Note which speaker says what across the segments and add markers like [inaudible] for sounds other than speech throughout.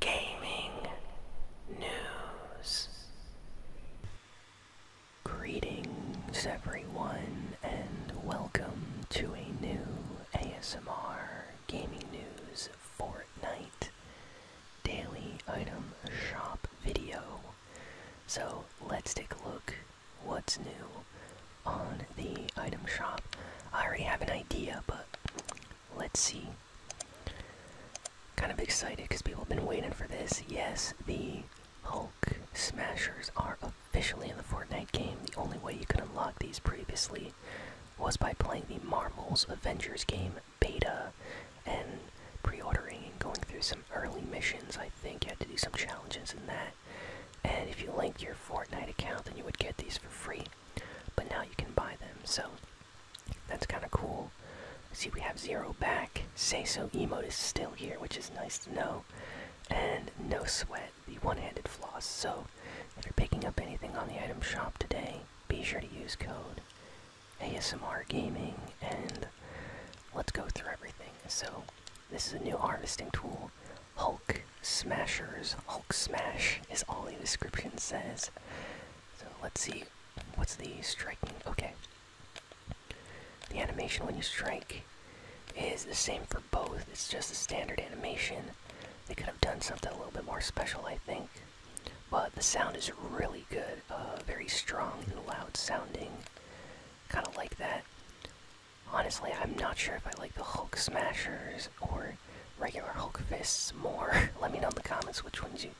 Speaker 1: gaming news. Greetings, everyone, and welcome to a new ASMR Gaming News Fortnite Daily Item Shop video. So let's take a look what's new on the item shop. I already have an idea, but let's see Kind of excited because people have been waiting for this. Yes, the Hulk Smashers are officially in the Fortnite game. The only way you could unlock these previously was by playing the Marvel's Avengers game beta and pre ordering and going through some early missions. I think you had to do some challenges in that. And if you linked your Fortnite account, then you would get these for free. But now you can buy them. So that's kind of cool. See, we have zero back. Say so emote is still here, which is nice to know. And no sweat, the one-handed floss. So, if you're picking up anything on the item shop today, be sure to use code ASMR Gaming. And let's go through everything. So, this is a new harvesting tool. Hulk Smashers, Hulk Smash is all the description says. So let's see what's the striking. Okay. The animation when you strike is the same for both. It's just a standard animation. They could have done something a little bit more special, I think. But the sound is really good, uh, very strong and loud sounding. Kind of like that. Honestly, I'm not sure if I like the Hulk Smashers or regular Hulk fists more? [laughs] Let me know in the comments which ones you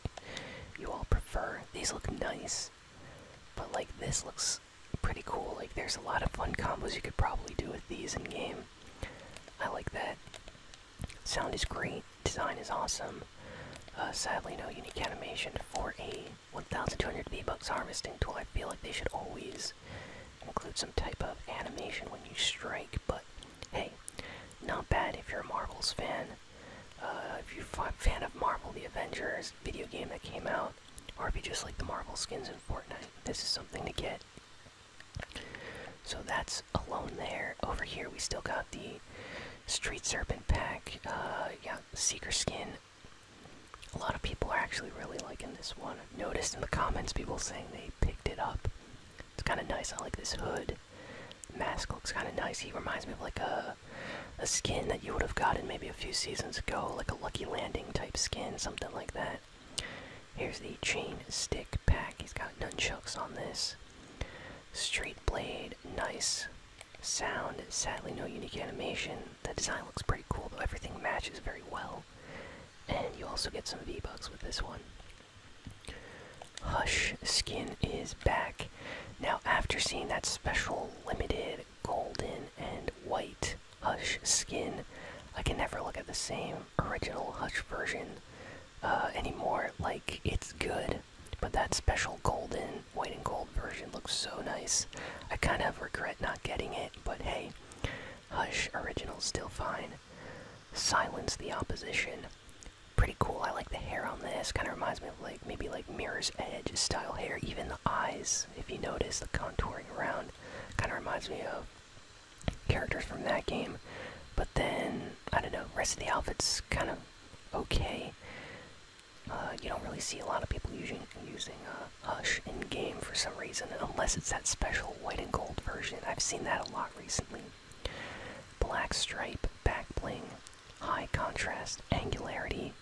Speaker 1: you all prefer. These look nice, but like this looks pretty cool. Like there's a lot of fun combos you could probably do with these in game. I like that. Sound is great. Design is awesome. Uh, sadly, no unique animation for a 1,200 bee bucks harvesting tool. I feel like they should always include some type of animation when you strike, but hey, not bad if you're a Marvel's fan. Uh, if you're a fan of Marvel the Avengers video game that came out, or if you just like the Marvel skins in Fortnite, this is something to get. So that's alone there. Over here, we still got the Street Serpent pack. Uh, yeah, Seeker skin. A lot of people are actually really liking this one. I've noticed in the comments people saying they picked it up it's kind of nice. I like this hood. mask looks kind of nice. He reminds me of like a a skin that you would have gotten maybe a few seasons ago, like a Lucky Landing type skin, something like that. Here's the chain stick pack. He's got nunchucks on this. Straight blade, nice. Sound, sadly no unique animation. The design looks pretty cool though. Everything matches very well. And you also get some V-Bucks with this one. Hush skin is back. Now, after seeing that special limited golden and white Hush skin, I can never look at the same original Hush version uh, anymore. Like, it's good, but that special golden, white and gold version looks so nice. I kind of regret not getting it, but hey, Hush original's still fine. Silence the opposition. Pretty cool. I like the hair on this. Kind of reminds me of like maybe like Mirror's Edge style hair. Even the eyes, if you notice the contouring around, kind of reminds me of characters from that game. But then I don't know. Rest of the outfits kind of okay. Uh, you don't really see a lot of people using using uh, Hush in game for some reason, unless it's that special white and gold version. I've seen that a lot recently. Black stripe, back bling, high contrast, angularity.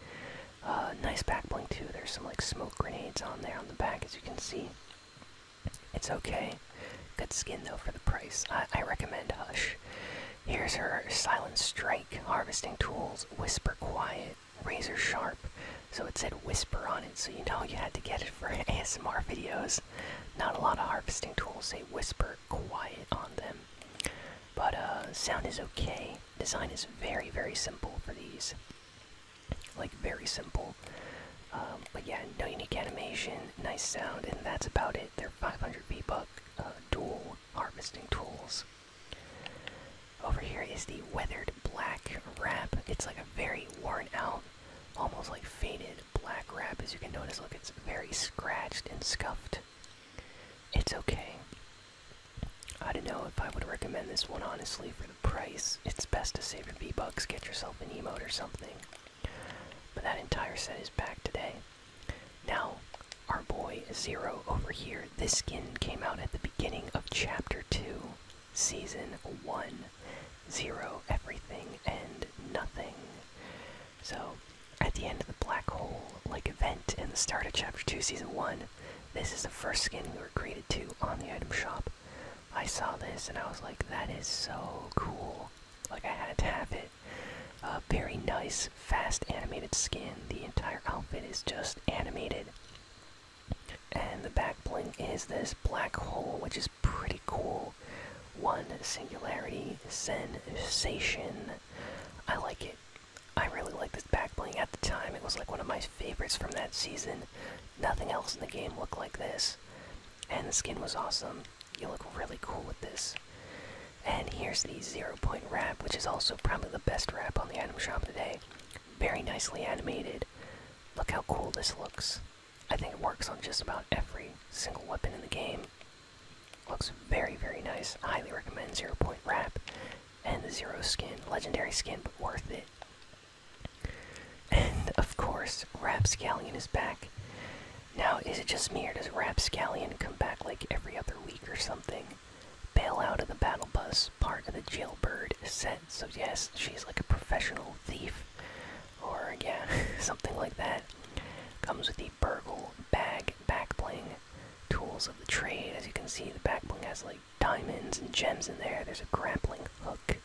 Speaker 1: Uh, nice back bling too. There's some like smoke grenades on there on the back, as you can see. It's okay. Good skin though for the price. I recommend Hush. Here's her Silent Strike harvesting tools, Whisper Quiet, Razor Sharp, so it said whisper on it, so you know you had to get it for ASMR videos. Not a lot of harvesting tools say whisper quiet on them. But uh, sound is okay. Design is very, very simple for these. Like, very simple. Um, but yeah, no unique animation, nice sound, and that's about it. They're 500 v uh, dual harvesting tools. Over here is the Weathered Black Wrap. It's like a very worn out, almost like faded black wrap. As you can notice, look, it's very scratched and scuffed. It's okay. I don't know if I would recommend this one honestly for the price. It's best to save your V-Bucks, get yourself an emote or something. But that entire set is back today. Now, our boy Zero over here. This skin came out at the beginning of Chapter 2. Season 1 Zero, Everything, and Nothing. So, at the end of the black hole like event in the start of Chapter 2, Season 1, this is the first skin we were greeted to on the item shop. I saw this and I was like, that is so cool. Like, I had to have it. A very nice, fast animated skin. The entire outfit is just animated. And the back bling is this black hole, which is pretty cool. One singularity sensation. I like it. I really like this back bling. At the time, it was like one of my favorites from that season. Nothing else in the game looked like this. And the skin was awesome. You look really cool with this. And here's the zero point wrap, which is also probably the best wrap on the item shop today. Very nicely animated. Look how cool this looks. I think it works on just about every single weapon in the game. Looks very, very nice. Highly recommend Zero Point rap and the Zero skin. Legendary skin, but worth it. And of course, Rapscallion is back. Now, is it just me or does Rapscallion come back like every other week or something? Bail out of the battle bus part of the jailbird set. So, yes, she's like a professional thief, or yeah, [laughs] something like that. Comes with the burglar bag back bling tools of the trade. As you can see, the back bling has like diamonds and gems in there. There's a grappling hook,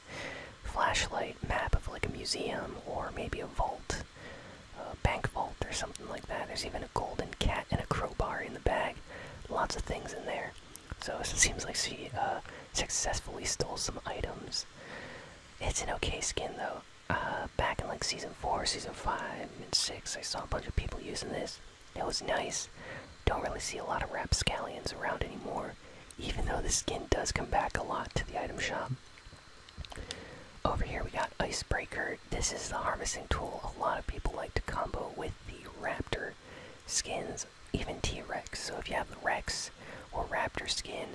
Speaker 1: flashlight, map of like a museum or maybe a vault, a bank vault or something like that. There's even a golden cat and a crowbar in the bag. Lots of things in there. So it seems like she uh, successfully stole some items. It's an okay skin though. Uh, back in like season four, season five, and six, I saw a bunch of people using this. It was nice. Don't really see a lot of rapscallions around anymore, even though the skin does come back a lot to the item shop. Over here we got Icebreaker. This is the harvesting tool a lot of people like to combo with the Raptor skins, even T Rex. So if you have the Rex or Raptor skin,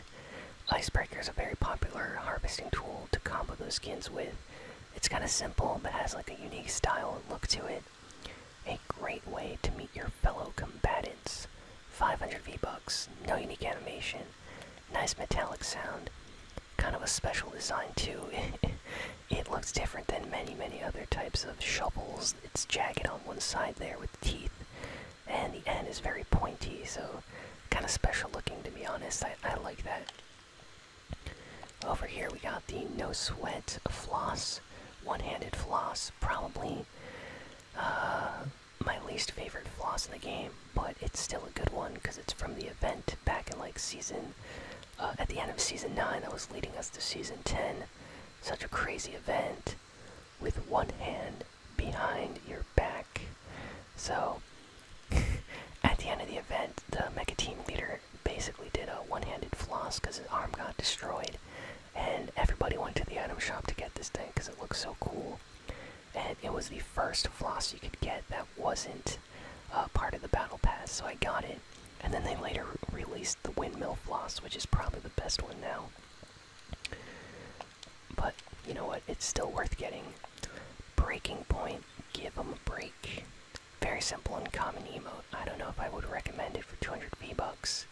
Speaker 1: Icebreaker is a very popular harvesting tool to combo those skins with. It's kind of simple, but has like a unique style and look to it. A great way to meet your fellow combatants. 500 V-Bucks, no unique animation, nice metallic sound, kind of a special design too. [laughs] It looks different than many, many other types of shovels. It's jagged on one side there with teeth, and the end is very pointy, so kind of special looking to be honest. I, I like that. Over here we got the No Sweat Floss, one handed floss, probably uh, my least favorite floss in the game, but it's still a good one because it's from the event back in like season uh, at the end of season 9 that was leading us to season 10. Such a crazy event with one hand behind your back. So, [laughs] at the end of the event, the mecha team leader basically did a one handed floss because his arm got destroyed. And everybody went to the item shop to get this thing because it looked so cool. And it was the first floss you could get that wasn't uh, part of the battle pass, so I got it. And then they later released the Windmill Floss, which is probably the best one now. But you know what? It's still worth getting. Breaking Point, give them a break. Very simple and common emote. I don't know if I would recommend it for 200 V-Bucks.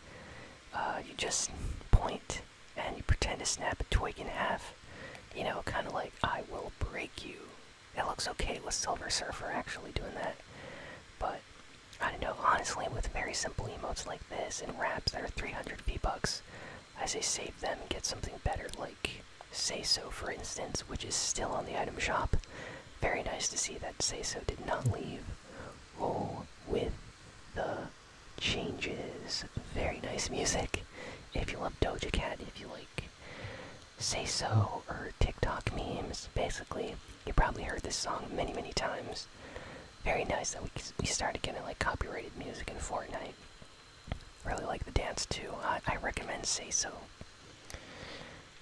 Speaker 1: Uh, you just point and you pretend to snap a twig in half. You know, kind of like, I will break you it looks okay with Silver Surfer actually doing that. But I don't know, honestly, with very simple emotes like this and wraps that are 300 v I say save them and get something better, like Say So, for instance, which is still on the item shop. Very nice to see that Say So did not leave. Roll with the changes. Very nice music. If you love Doja Cat, if you like say so or TikTok memes. Basically, you probably heard this song many, many times. Very nice that we, we started getting like copyrighted music in Fortnite. Really like the dance too. I, recommend Say So.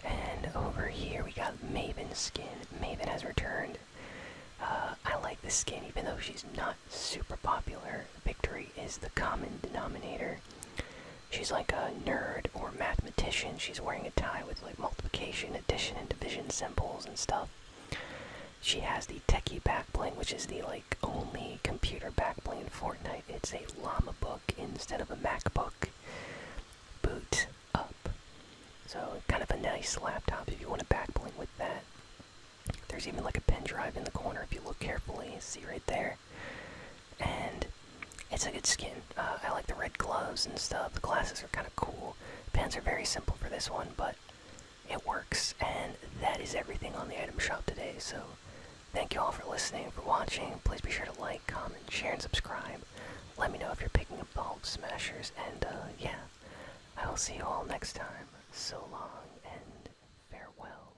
Speaker 1: And over here we got Maven skin. Maven has returned. Uh, I like the skin even though she's not super popular. Victory is the common denominator. She's like a nerd or mathematician. She's wearing a tie with like multiplication, addition, and division symbols and stuff. She has the techie backplane, which is the like only computer backplane in Fortnite. It's a llama book instead of a MacBook. Boot up. So kind of a nice laptop if you want a backplane with that. There's even like a pen drive in the corner if you look carefully. See right there and it's a good skin. Uh, I like the red gloves and stuff. The glasses are kind of cool. Pants are very simple for this one, but it works. And that is everything on the item shop today. So thank you all for listening, for watching. Please be sure to like, comment, share, and subscribe. Let me know if you're picking up bulb smashers. And uh, yeah, I will see you all next time. So long and farewell.